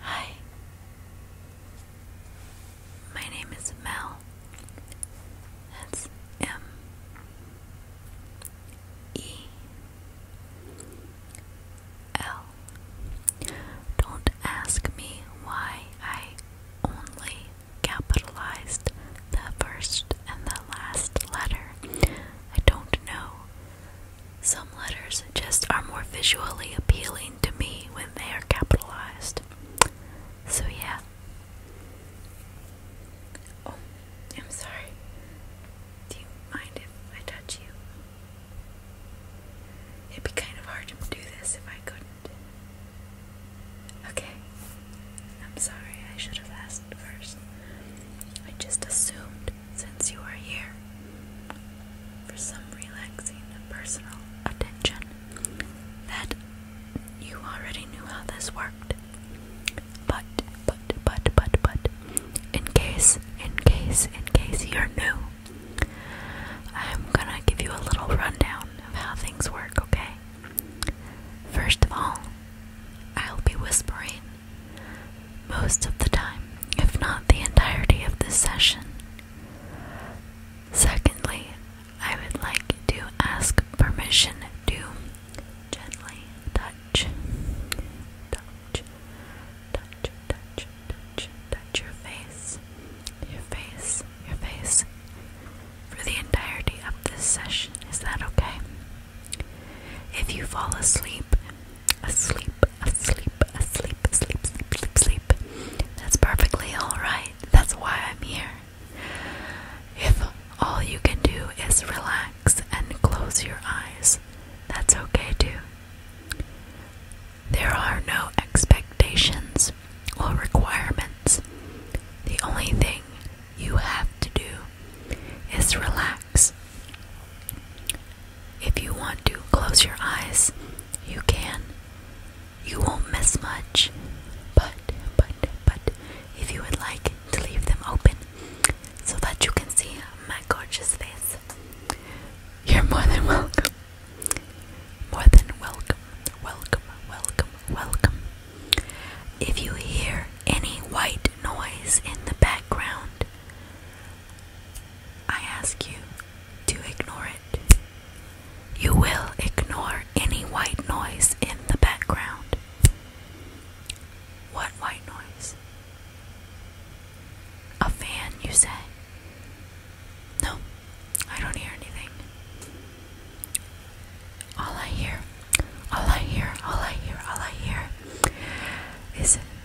Hi, my name is Mel. That's M E L. Don't ask me why I only capitalized the first and the last letter. I don't know. Some letters just are more visually appealing to me when they are capitalized. So, yeah. Oh, I'm sorry. Do you mind if I touch you? It'd be kind of hard to do this if I couldn't. Okay. I'm sorry, I should have asked first. I just assumed since you are here for some relaxing and personal attention that you already knew how this worked. But, but, but, but, but, in case, in case, in case you're new, I'm gonna give you a little rundown of how things work, okay? First of all, I'll be whispering most of the time, if not the entirety of this session. Secondly, I would like to ask permission to gently touch, touch, touch, touch, touch, touch your face, your face, your face for the entirety of this session. Is that okay? If you fall asleep, asleep, asleep, asleep, asleep, sleep, sleep, That's perfectly alright. That's why I'm here. If all you can do is relax and close your eyes, that's okay too. There are no expectations or requirements. The only thing you have to do is relax. If you want to close your eyes, you can. You won't miss much. But, but, but, if you would like to leave them open so that you can see my gorgeous face, you're more than welcome. More than welcome, welcome, welcome, welcome. If you hear any white noise in the background, I ask you to ignore it. You will ignore any white noise in the background. What white noise? A fan, you say? No, I don't hear anything. All I hear, all I hear, all I hear, all I hear is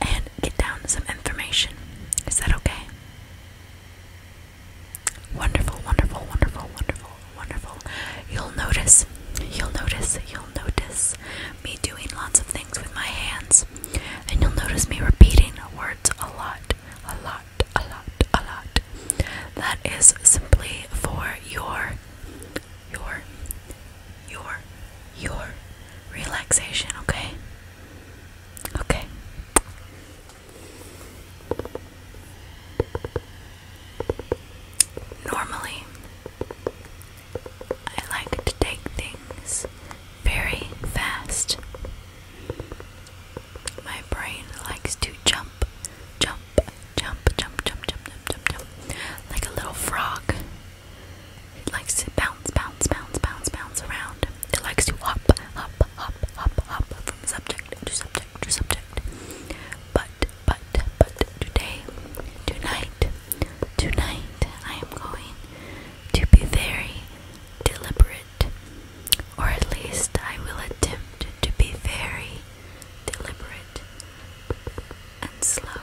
and get down some information. Is that okay? Wonderful, wonderful, wonderful, wonderful, wonderful. You'll notice, you'll notice, you'll notice me doing lots of things with my hands, and you'll notice me repeating words a lot, a lot, a lot, a lot. That is simply for your, your, your, your relaxation, okay? Okay. Normally, I like to take things very fast. My brain likes to jump, jump, jump, jump, jump, jump, jump, jump, like a little frog. It likes to bounce, bounce, bounce, bounce, bounce around. It likes to hop, hop, hop, hop, hop from subject to subject to subject. But, but, but today, tonight, tonight, I am going to be very deliberate, or at least I will attempt to be very deliberate and slow.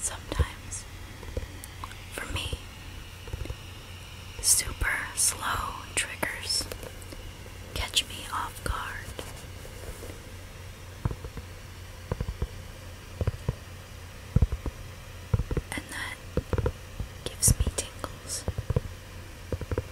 Sometimes, for me, super slow triggers catch me off guard. And that gives me tingles.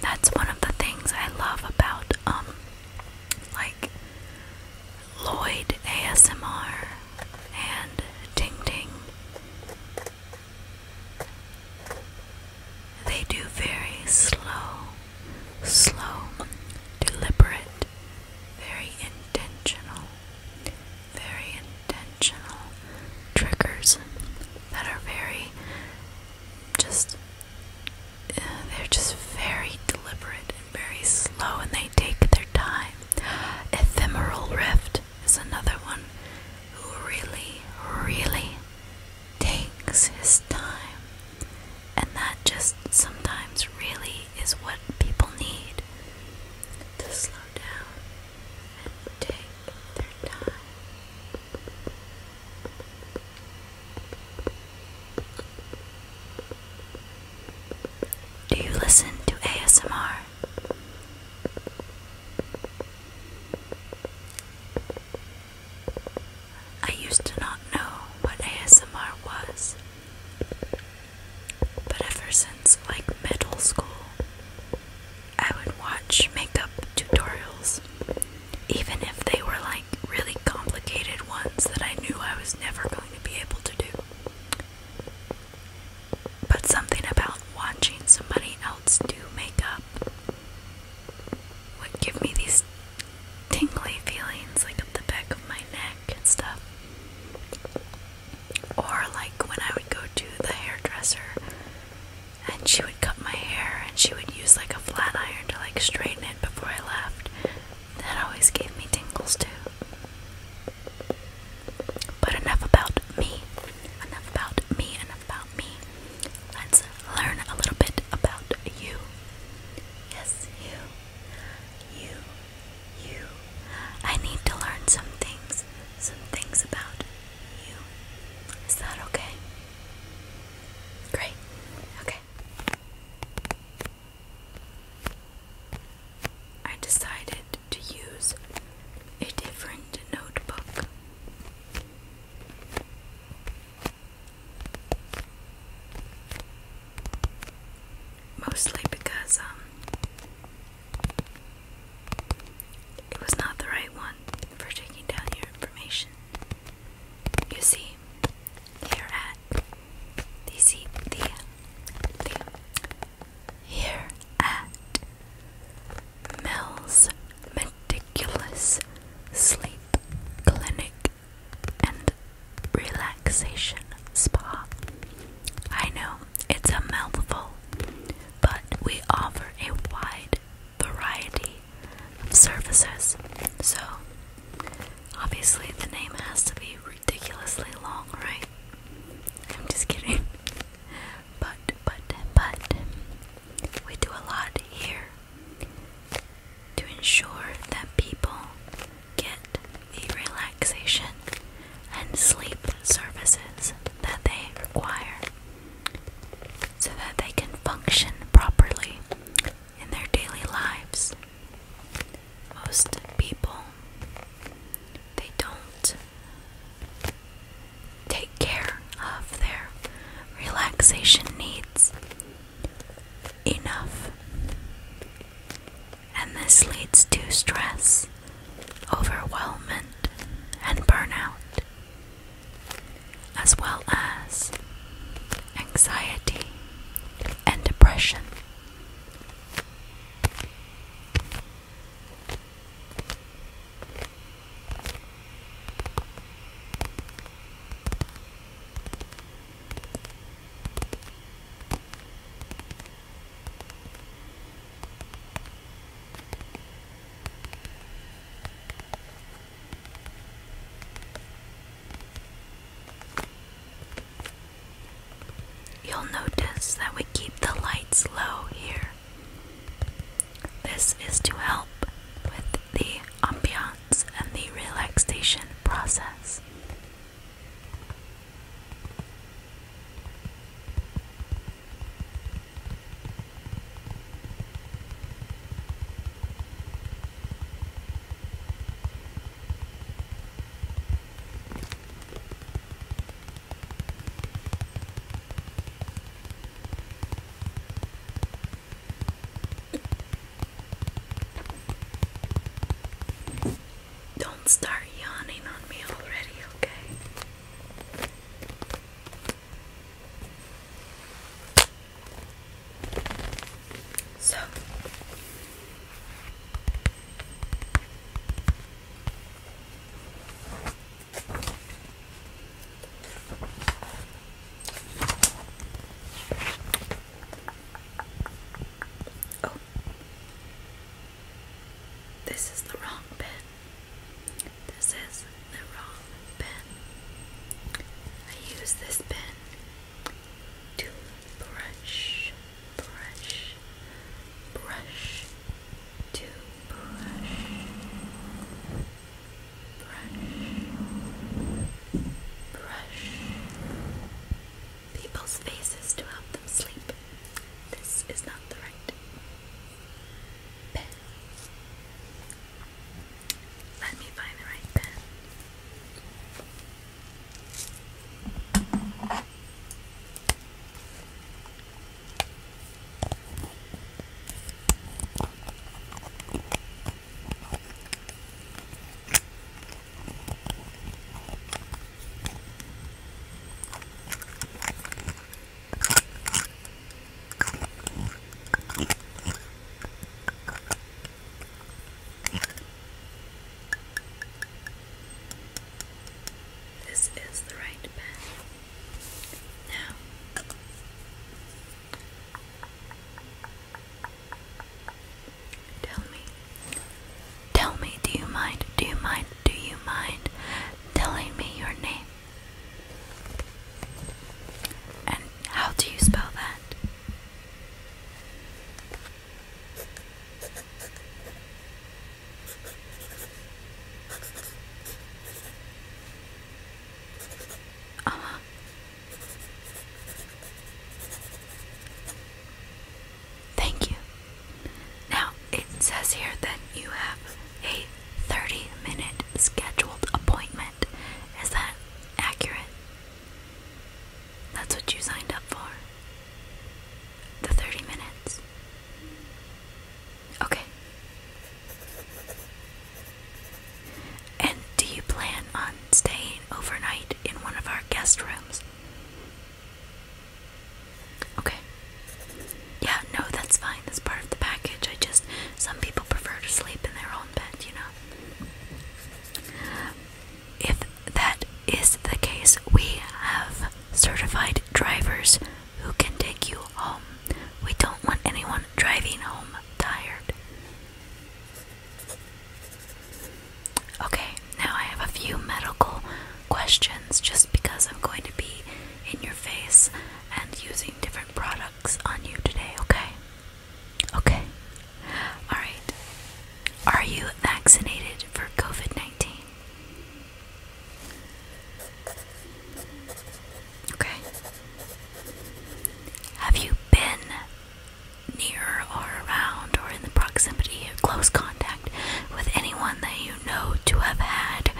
That's one of the things I love about um like Lloyd ASMR and Ding Ding. They do very slow, slow, deliberate, very intentional, very intentional triggers that are very just uh, they're just very deliberate and very slow and they take their time. Ephemeral Rift is another one who really, really takes his time. And that just sometimes really is what people need to slow down and take their time. Do you listen to ASMR? I used to not know what ASMR was, but ever since like middle school, I would watch makeup tutorials, even if they were like really complicated ones that I knew I was never going to be able to do. But something about watching somebody else do makeup would give me these tingly feelings, like up the back of my neck and stuff. Or like when I would go to the hairdresser and she would cut my hair and she would use like a flat iron to like straighten it before I left. That always gave me tingles too. But enough about me. Enough about me. Enough about me. Let's learn a little bit about you. Yes, you. You. You. I need to learn some things. Some things about you. Is that okay? Great. Okay. I decided to use a different notebook. Mostly because um it was not the right one for taking down your information. You see, here at the see the the here at Mel's meticulous sleep clinic and relaxation spa. I know it's a mouthful, but we offer a wide variety of services. So, obviously, the name has to be ridiculously long, right? I'm just kidding. But, but, but, we do a lot here to ensure that people get the relaxation and sleep services that they require so that they can function properly in their daily lives. Most people, they don't take care of their relaxation needs enough. And this leads to stress, overwhelmment, and burnout as well as anxiety and depression. You'll notice that we keep the lights low here. This is to help with the ambiance and the relaxation process. Don't start yawning on me already, okay? So Oh. This is the wrong pen. This is the wrong pen. I use this pen to brush, brush, brush, to brush, brush, brush people's faces to help them sleep. This is not the right pen. Let me find the right pen. This is the right pen. Now, tell me, tell me, do you mind, do you mind, do you mind telling me your name? And how do you spell that? Ama uh-huh. Thank you. Now it says here that you have a 30 minute scheduled appointment. Is that accurate? That's what you signed up for. The 30 minutes. Okay. And do you plan on staying overnight in one of our guest rooms? Okay. Yeah, no, that's fine. That's part of the package. I just, some people prefer to sleep in their own bed, you know? If that is the case, we have certified drivers who can take you home. We don't want anyone driving home tired. Okay, now I have a few medical questions just because I'm going to be in your face and using different products on you today, okay? Okay. Alright. Are you vaccinated for COVID 19? Okay. Have you been near or around or in the proximity or close contact with anyone that you know to have had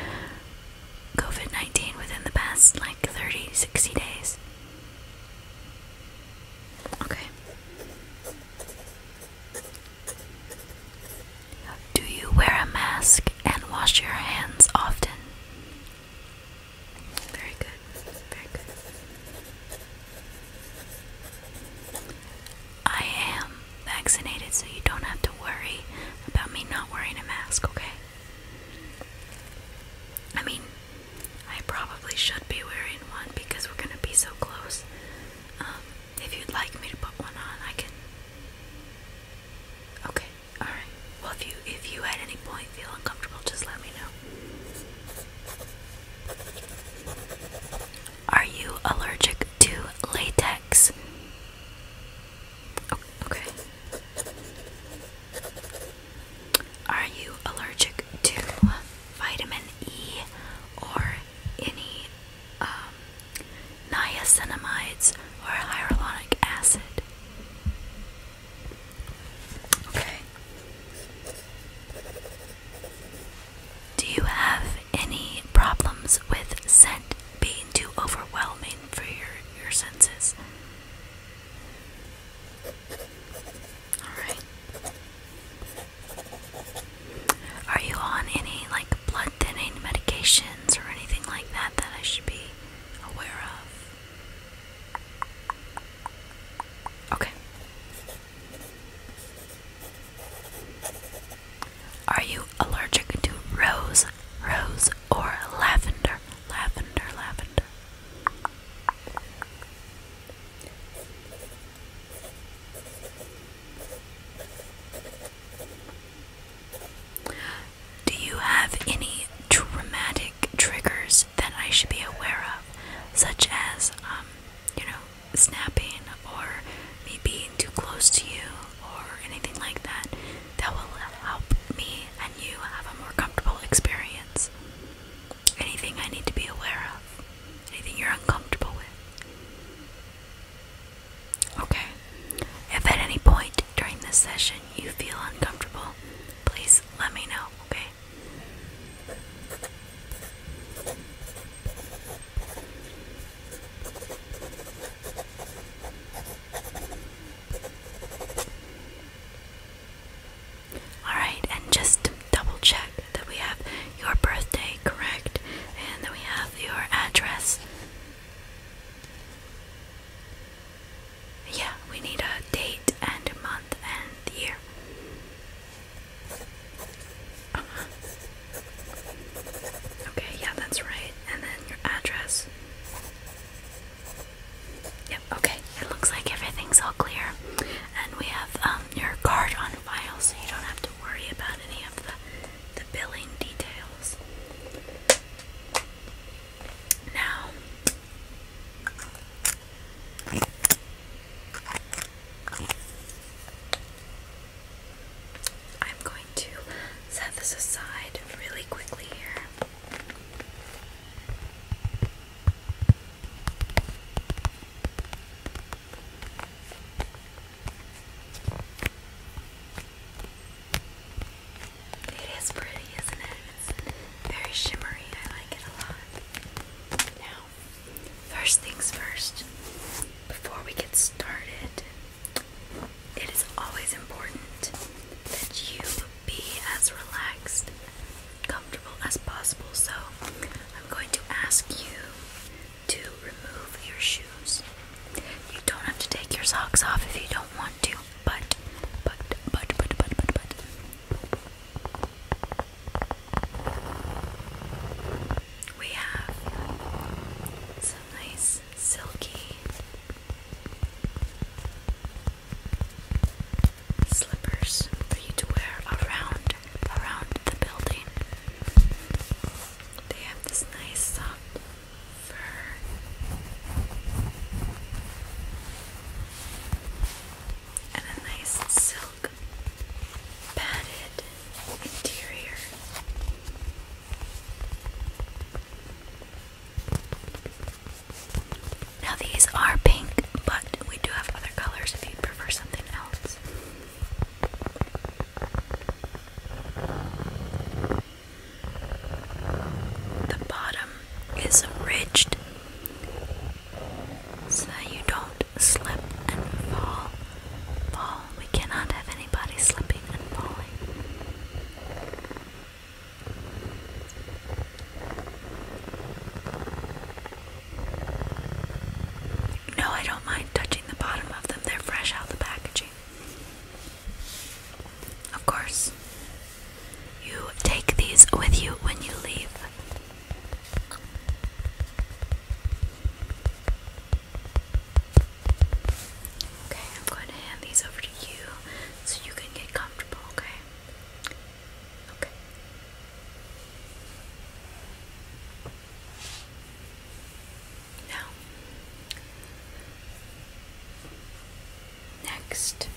COVID 19 within the past like 30, 60 days? Okay. Do you wear a mask and wash your hands often? Very good. Very good. I am vaccinated, so you don't have to worry about me not wearing a mask, okay? I mean, I probably should be wearing one because we're gonna be so close. Um, if you'd like me to put one on, I can. Okay, all right. Well, if you if you at any point feel uncomfortable, just let me know. Are you allergic to latex? Oh, okay. Are you allergic to vitamin E or any um, niacinamides or hyaluronic acid? Okay. Do you have any problems with scent being too overwhelming for your, your senses? Alright. Are you on any like blood thinning medications or anything like that that I should be aware of? Okay. Are you allergic to rose, rose, or lavender? Lavender, lavender. Do you have any traumatic triggers that I should be aware of, such as, um, you know, snapping or me being too close to you or anything like that? That will help me and you have a more comfortable experience. Anything I need to be aware of? Anything you're uncomfortable with. Okay. If at any point during this session you feel uncomfortable, please let me know, okay? Alright, and just double check that we have your birthday correct and then we have your address. Yeah, we need a date and month and year. Okay, yeah, that's right. And then your address. Yep, okay. It looks like everything's all clear. And we have um your card on file so you don't have to worry about any of the, the billing details. Now, I'm going to set this aside really quickly here. It is pretty, isn't it? It's very shimmery. I like it a lot. Now, first things first, before we get started, it is always important that you be as relaxed comfortable as possible. So I'm going to ask you to remove your shoes. You don't have to take your socks off if you don't want to, but, but, but, but, but, but, but. We have some nice silky slippers for you to wear around around the building. They have this nice soft fur. And a nice silk padded interior. Now, these are pink, but we do have other colors if you prefer something else. The bottom is ridged so you don't slip and fall. Fall. We cannot have anybody slipping and falling. No, I don't mind touching the bottom of them. They're fresh out of the packaging. Of course. You take these with you when you leave. Okay, I'm going to hand these over to you so you can get comfortable, okay? Okay. Now, next,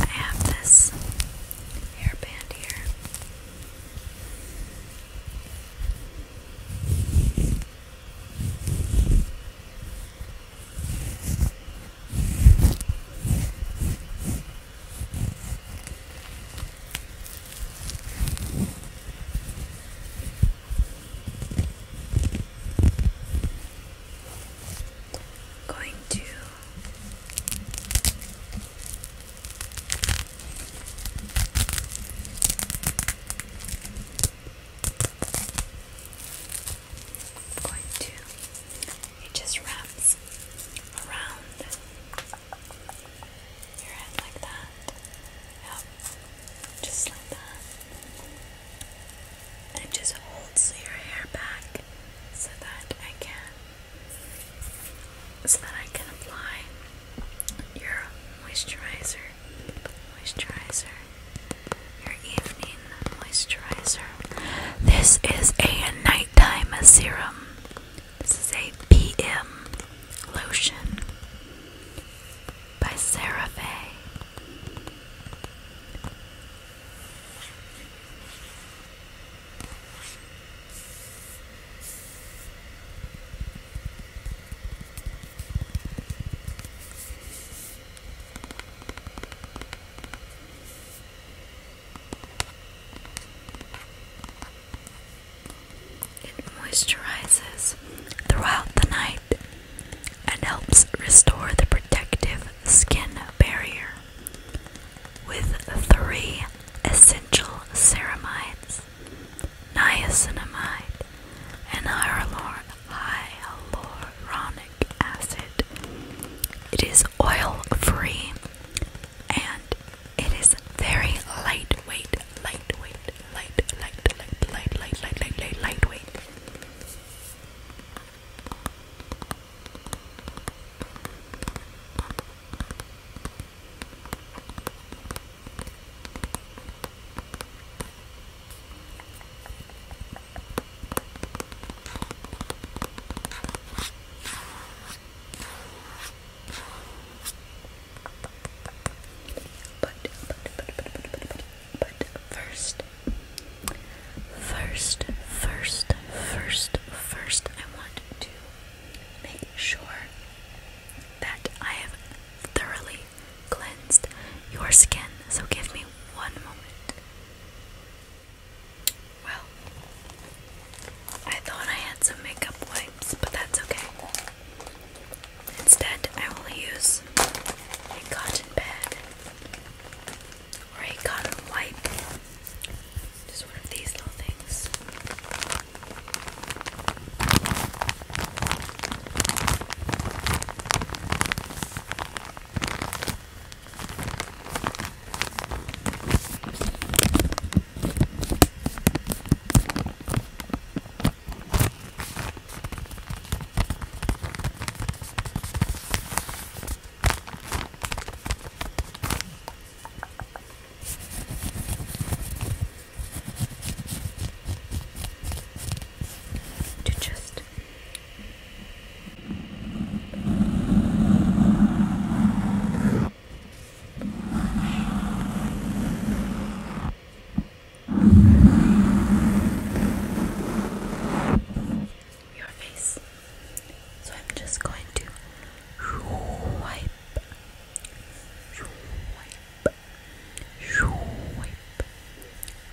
I have this hairband here. Going to I'm going to, it just wraps around your head like that. Yep, just like that. And it just holds your hair back so that I can, so that I can apply your moisturizer moisturizer. Your evening moisturizer. This is a nighttime serum. This is a PM lotion by CeraVe. It moisturizes throughout the night and helps restore the protective skin barrier with three essential ceramides niacinamide, and hyaluronic acid. It is oil free and it is very lightweight, lightweight, light, light, light, light, light, light, light, light, lightweight. But, but, but, but, but, but, but first, first, first, first, first, I want to make sure that I have thoroughly cleansed your skin, so give me one moment. Well, I thought I had some makeup wipes, but that's okay. Instead, I will use a cotton pad or a cotton wipe. Just one of these little things to just rest. Your face. So I'm just going to wipe, wipe, wipe,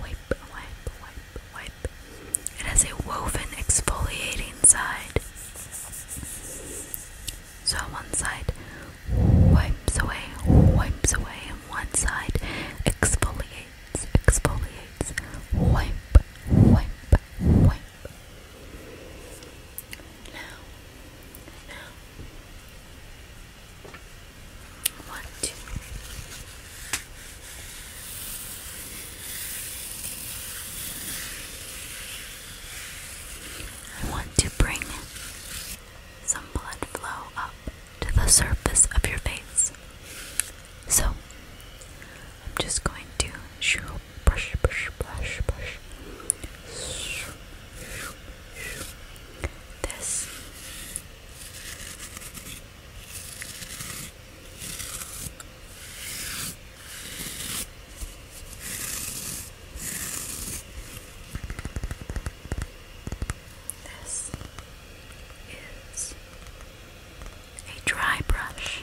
Wipe, wipe, wipe, wipe. It has a woven exfoliating side. So one side wipes away, wipes away, and one side exfoliates, exfoliates, wipe, wipe, wipe. Now, now. One, two. I want to bring some blood flow up to the surface of your face. So, I'm just going to shoo, brush, brush, brush, brush. Shoo, shoo, shoo. This this is a dry brush.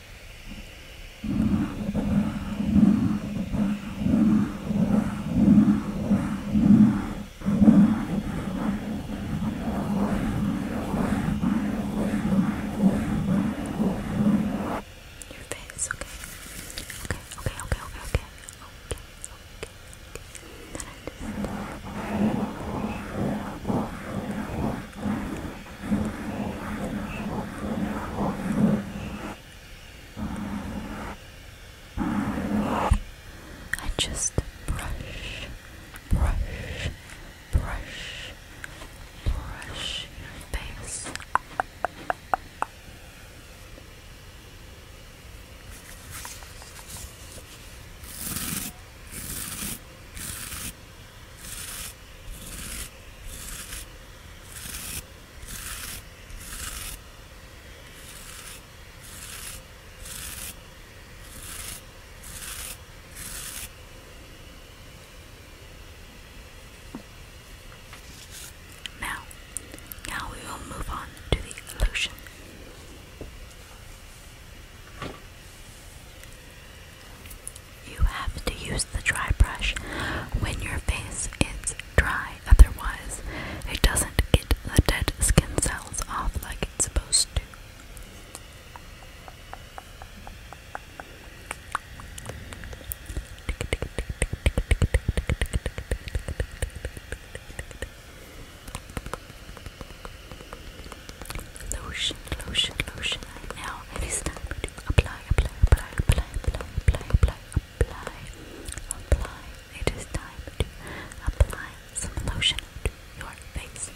Your face, okay. Okay, okay, okay, okay, okay. Okay, okay, okay. Then I just I just brush, brush, brush, brush your face. brush, brush, brush, brush now, now we will move on to the lotion. You have to use the dry brush when your face is dry, otherwise, it doesn't get the dead skin cells off like it's supposed to. Lotion, lotion, lotion. now it is time to apply apply, apply, apply, apply, apply, apply, apply, It is time to apply some lotion to your face.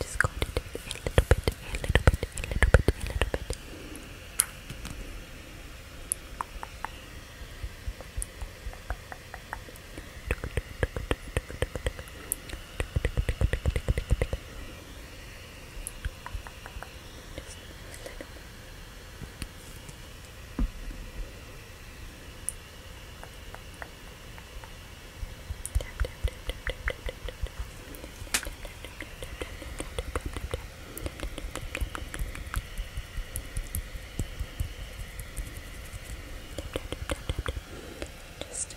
just going a little bit, a little bit, a little bit, a little bit. Just a little bit. Tap, tap, tap, tap, tap, tap, tap, tap. Just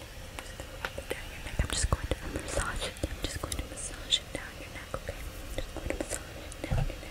I'm just going to massage it. I'm just going to massage it down your neck, okay? I'm just going to massage it down your neck. Down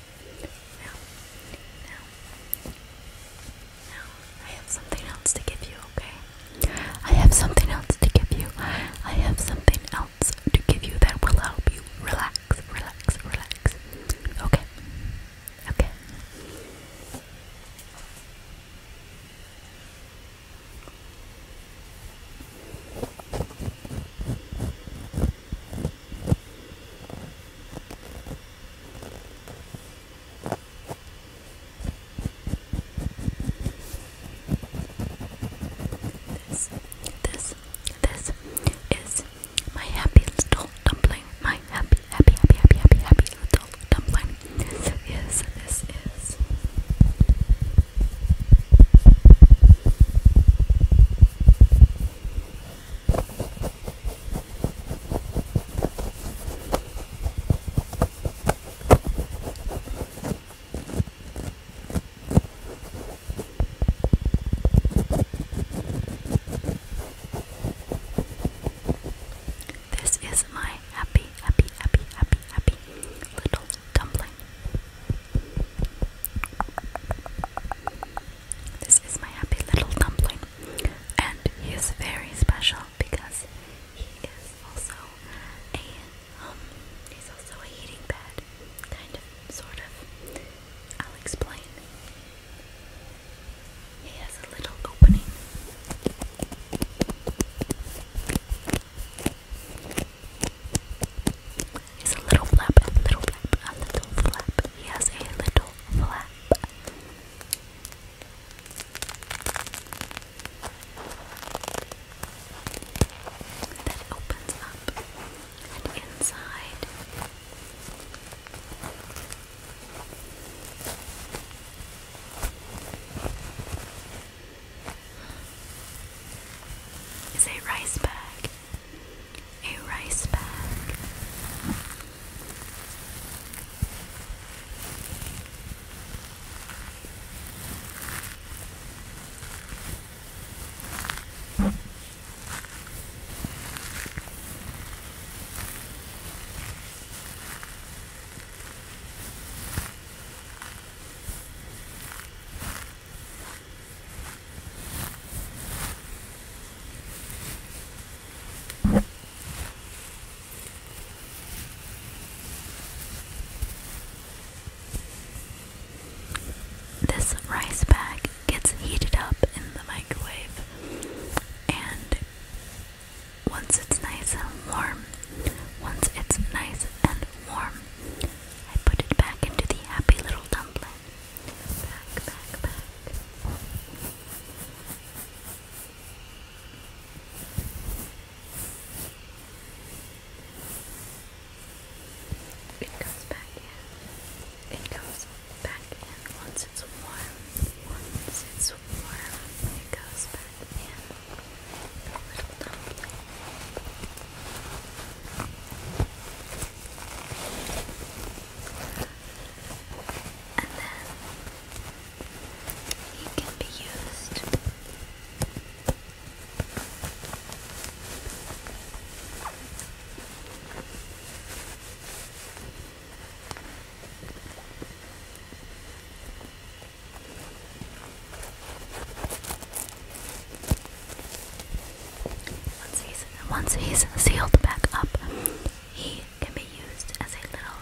now, now, now, I have something else to give you, okay? I have something else to give you. I have something else to give you that will help you relax, relax, relax. Okay, okay. This, this, this is my happy little dumpling. My happy, happy, happy, happy, happy, happy little dumpling. This is, this is. This is my happy, happy, happy, happy, happy little dumpling. This is my happy little dumpling, and he is very special because he is also a um, he's also a heating pad, kind of, sort of. I'll explain. He has a little opening. It's a little flap, a little flap, a little flap. He has a little flap. That opens up and inside. Is a rice bag a rice bag. This rice bag gets heated up in the microwave, and once it's nice and warm, once it's nice and warm, I put it back into the happy little dumpling back, back, back. It comes back in. It comes back in once it's warm. Once it's warm, it goes back in. little dumpling. And then it can be used once he's, once sealed back up, he can be used as a little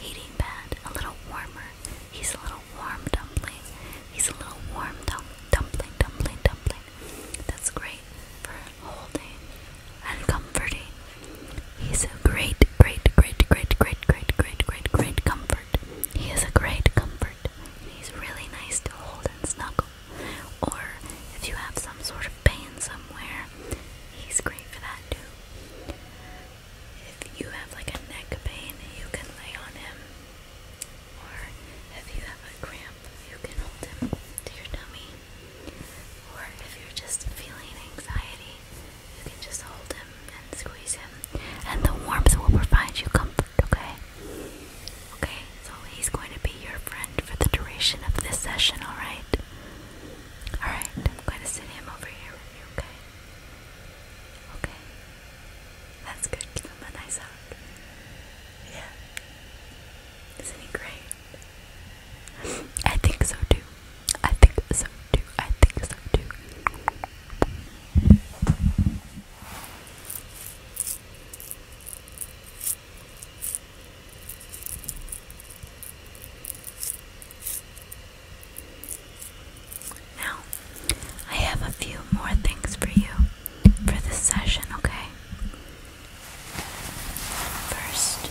heating pad, a little warmer. He's a little warm dumpling. He's a little warm dum dumpling, dumpling, dumpling. That's great for holding and comforting. He's a great, great, great, great, great, great, great, great comfort. He is a great comfort. He's really nice to hold and snuggle. Or if you have some sort of pain somewhere, he's great for that too. If you have like a neck pain, you can lay on him. Or if you have a cramp, you can hold him to your tummy. Or if you're just feeling anxiety, you can just hold him and squeeze him. And the warmth will provide you comfort, okay? Okay, so he's going to be your friend for the duration of this session, alright? Alright, I'm going to sit him over here with you, okay? Okay. That's good. Give a nice hug. Yeah. Isn't he great? I think so too. I think so too. I think so too. Now, I have a few more things for you for this session, okay? First,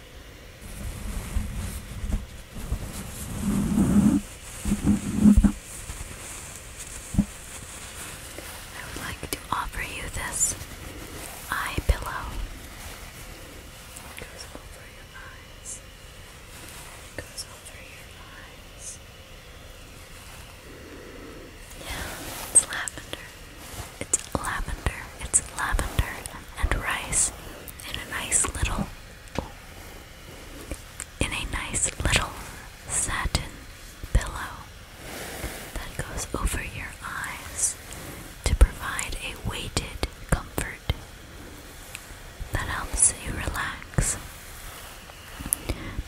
I would like to offer you this eye pillow. goes over your eyes. goes over your eyes. Yeah, it's lavender. It's lavender. It's lavender and rice in a nice little in a nice little satin pillow that goes over your eyes to provide a weighted comfort that helps you relax.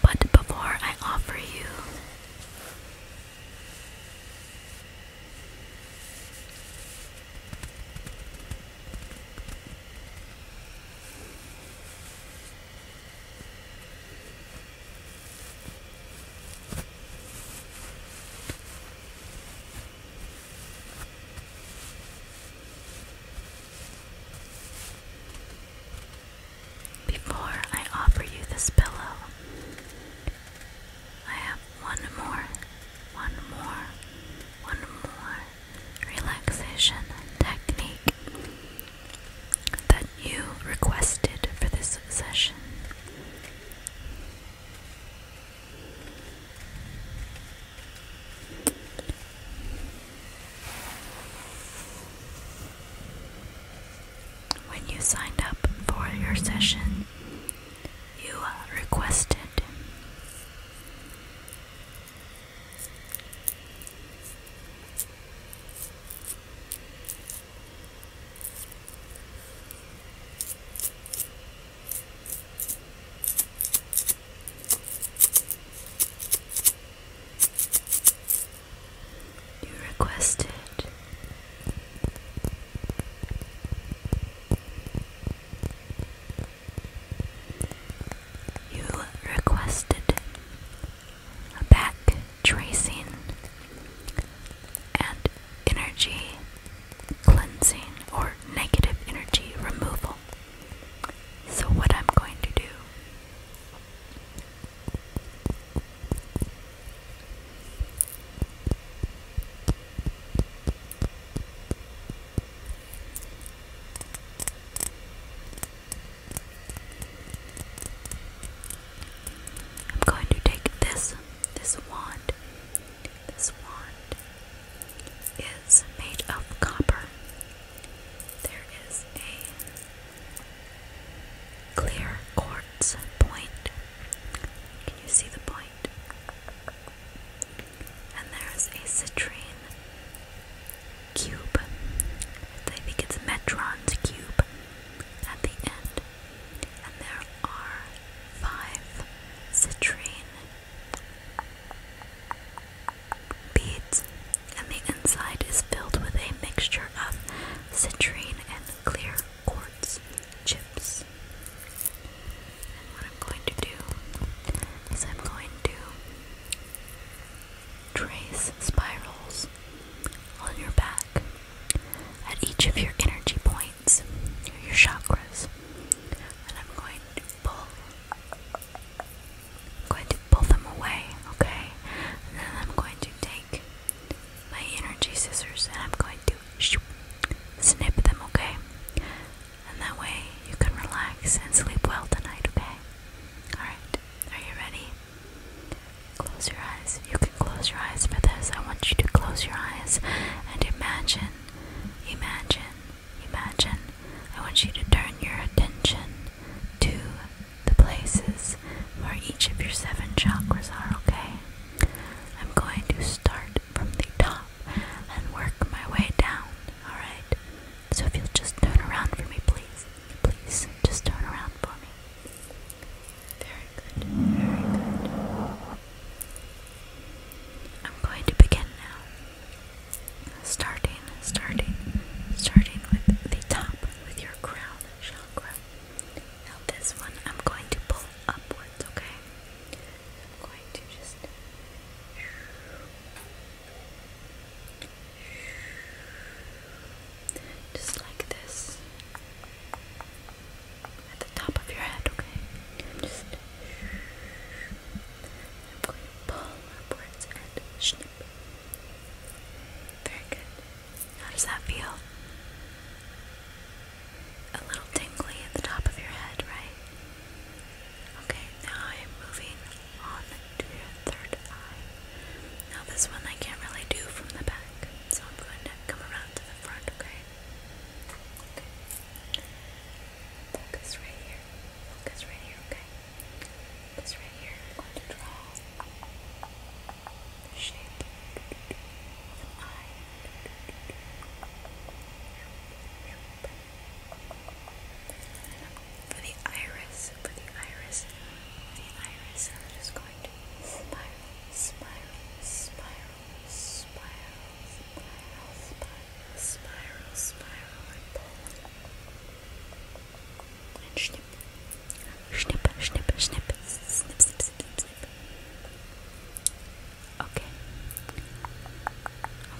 But before I offer you before I offer you this pillow, I have one more, one more, one more relaxation technique that you requested for this session. When you signed up for your session, you uh, requested. You requested you requested a back tracing and energy cleansing or negative energy removal. So, what I'm going to do. I'm going to take this this wand. This wand is made of copper. There is a clear quartz point. Can you see the point? And there's a citrine cube. I think it's Metron's cube at the end. And there are five citrine beads. And the inside is filled with a mixture of citrine and clear quartz chips. And what I'm going to do is I'm going to trace spirals on your back at each of your energy points, your chakras. And I'm going to pull I'm going to pull them away, okay? And then I'm going to take my energy scissors and I'm going to snip them, okay? And that way you can relax and sleep well tonight, okay? Alright, are you ready? Close your eyes. You can close your eyes for this. I want you to close your eyes and imagine, imagine, imagine. I want you to turn your attention to the places where each of your seven chakras are, okay? I'm going to start from the top and work my way down, alright? So if you'll just turn around for me, please. Please, just turn around for me. Very good, very good. I'm going to begin now. Starting, starting, starting with the top, with your crown chakra. Now, this one I'm going to pull upwards, okay? I'm going to just just like this. At the top of your head, okay? Just. pull upwards snip. Very good. How does that feel? a little tingly at the top of your head, right? Okay, now I am moving on to your third eye. Now this one I can't really do from the back, so I'm going to come around to the front, okay? Focus right here. Focus right here, okay? Focus right here. I'm draw shape eye. For the iris, for the iris, for the iris, I'm just going to spiral, spiral, spiral, spiral, spiral, spiral, spiral, spiral, and pull. And snip, snip, snip, snip, snip, snip, snip, snip, snip. Okay.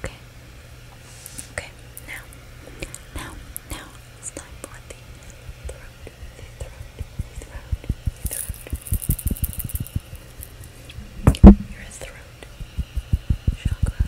Okay. Okay. Now, now, now it's time for the throat, the throat, the throat, the throat. Your throat chakra.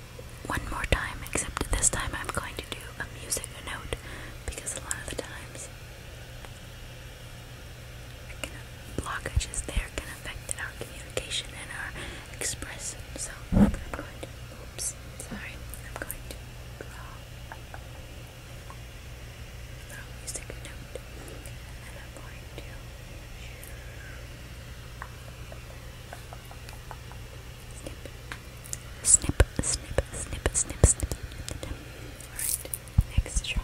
one more time, except this time I'm going to do a music note because a lot of the times can, blockages there can affect our communication and our expression. So I'm going to, oops, sorry, I'm going to draw a little music note and I'm going to. Snip, snip, snip, snip, snip, snip. Alright, next shot.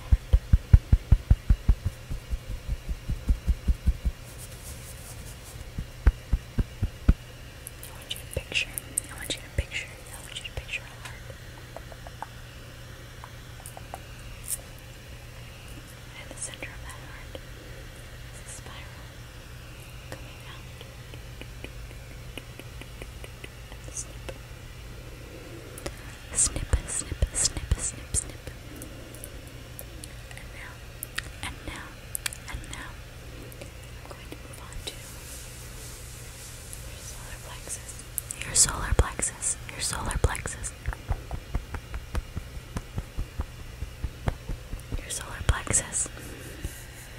I want you to picture, I want you to picture, I want you to picture a heart. And the center of that heart is a spiral coming out and snip. Snip, And now, and now, and now, I'm going to move on to your solar plexus. Your solar plexus. Your solar plexus. Your solar plexus.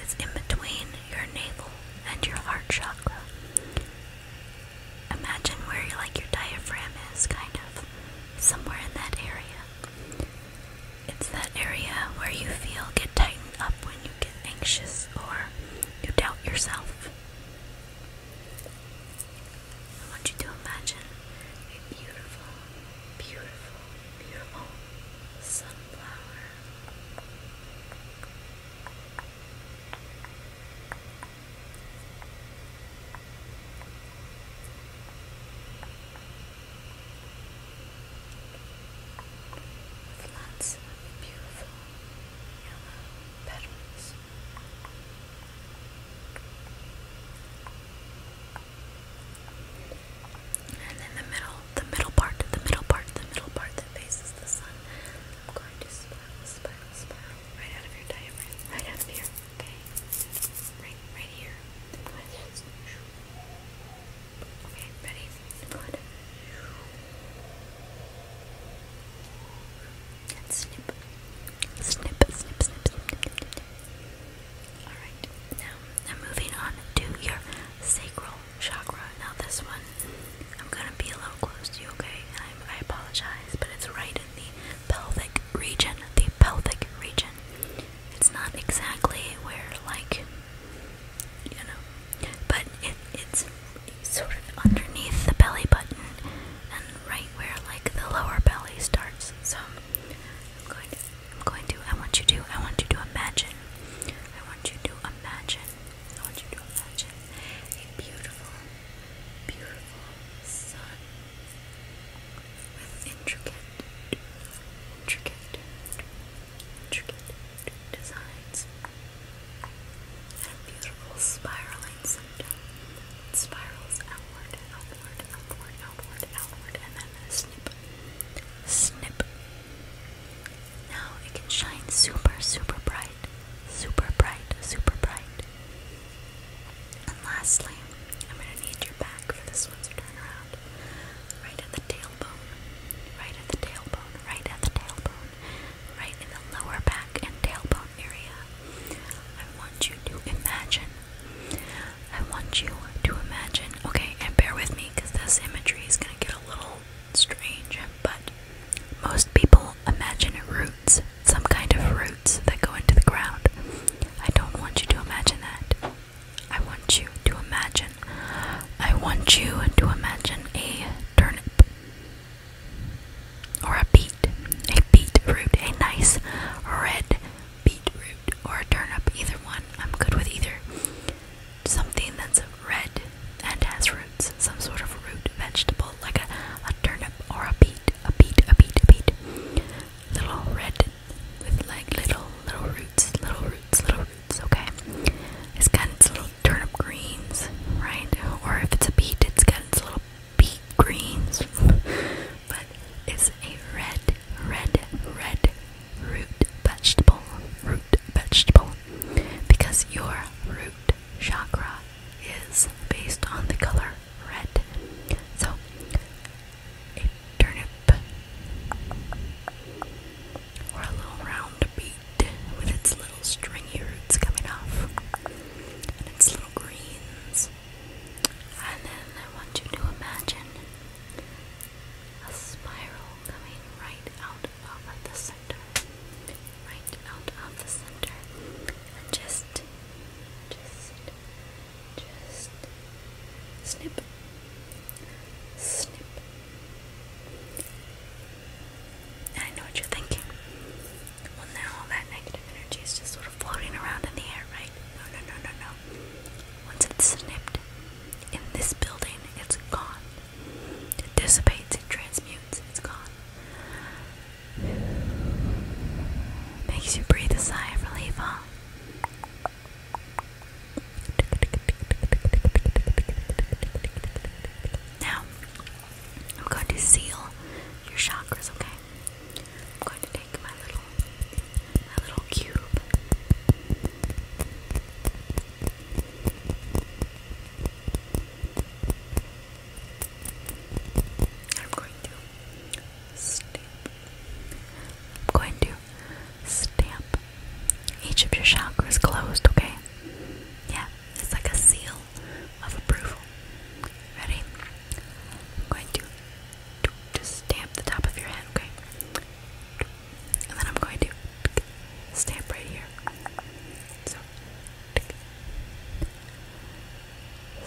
It's in between your navel and your heart chakra. Imagine where like your diaphragm is kind of somewhere in that area. It's that area where you feel get tightened up when you get anxious or you doubt yourself. I want you to imagine a beautiful beautiful, beautiful sunflower. With lots of beautiful yellow petals. And then the middle, the middle part, the middle part, the middle part that faces the sun. I'm going to spiral, spiral, spiral right out of your diaphragm, right out here. Okay, right, right here. Okay, ready? Good. And snip, snip, snip, snip, snip, snip Alright, now i moving on to your sacral chakra. Now, this one, I'm gonna be a little close to you, okay? i I apologize, but it's right in the pelvic region. The pelvic region. It's not exactly where, like, you know, but it, it's sort of underneath the belly button and right where, like, the lower belly starts. So, I'm going to I'm going to, I want you to, I want you to imagine, I want you to imagine, I want you to imagine a beautiful, beautiful sun with intricate, intricate, intricate designs and a beautiful spirals. center. spirals outward, outward, outward, outward, outward, and then snip, snip, now it can shine super, super bright, super bright, super bright. And lastly, I'm gonna need your back for this one, turn around. Right at the tailbone, right at the tailbone, right at the tailbone, right in the lower back and tailbone area. I want you to imagine. I want you to imagine. Okay, and bear with me because the symmetry is going to get a little strange, but most people imagine roots, some kind of roots that go into the ground. I don't want you to imagine that. I want you to imagine. I want you to imagine a turnip or a beet, a beetroot, a nice red beetroot or a turnip, either one. I'm good with either something that's red and has roots, some sort of root vegetable, like a, a turnip or a beet, a beet, a beet, a beet. Little red with like little, little roots, little roots, little roots, okay? It's got its little turnip greens, right? Or if it's a beet, it's got its little beet greens. but it's a red, red, red root vegetable, root vegetable, because your root chakra is based on the color red. So, a turnip or a little round beet with its little stringy roots coming off and its little greens. And then I want you to imagine a spiral coming right out of the center, right out of the center, and just, just, just snip, snip. I know what you're thinking. Well, now all that negative energy is just sort of floating around in the air, right? No, no, no, no, no. Once it's snipped in this building, it's gone. It dissipates, it transmutes, it's gone. Makes you breathe a sigh of relief, huh? Now, I'm going to seal your chakras, okay? I'm going to take my little my little cube I'm going to stamp. I'm going to stamp each of your chakras closed, okay? Yeah, it's like a seal of approval. Ready? I'm going to, to stamp the top of your head, okay? And then I'm going to stamp right here. So,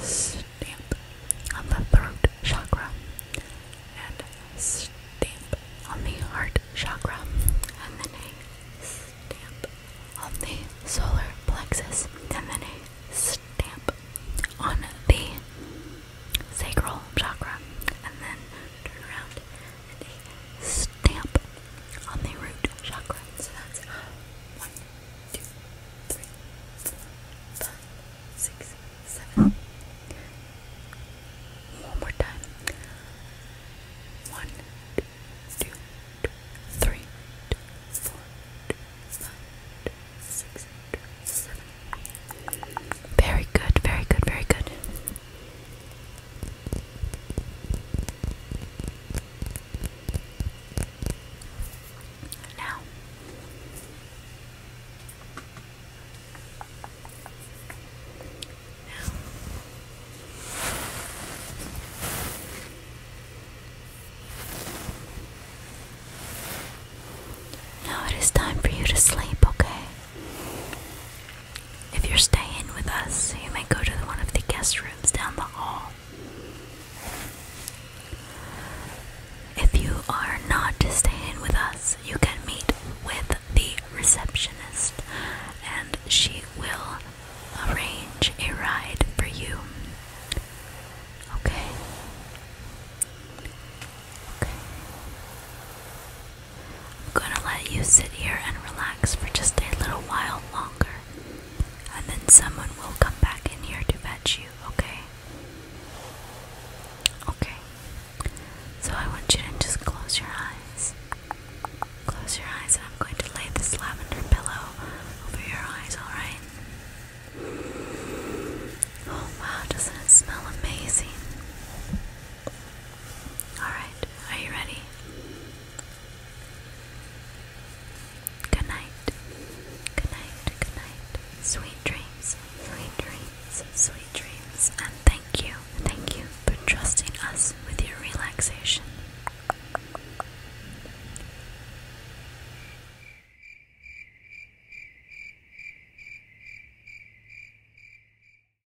stamp on the throat chakra and stamp on the heart chakra and then a stamp on the solar plexus and then a stamp on the sacral chakra and then turn around and a stamp on the root chakra. So that's one, two, three, four, five, six, seven. One more time. One, two, three, four, five, six, seven. Very good, very good, very good. Now, now. Now it is time for you to sleep, okay? If you're staying with us, you may go to one of the guest rooms down the hall. If you are not staying with us, you can meet with the receptionist and she will arrange a ride for you. Okay. Okay. I'm gonna let you sit here and relax for just a little while longer, and then someone will come back in here to fetch you, okay? Okay. So I want you to just close your eyes. Close your eyes, and I'm going to lay this lavender pillow over your eyes, alright? Oh wow, doesn't it smell amazing? Alright, are you ready? Good night. Good night. Good night. Sweet dreams. Sweet dreams. Sweet dreams. And thank you. Thank you for trusting us with your relaxation.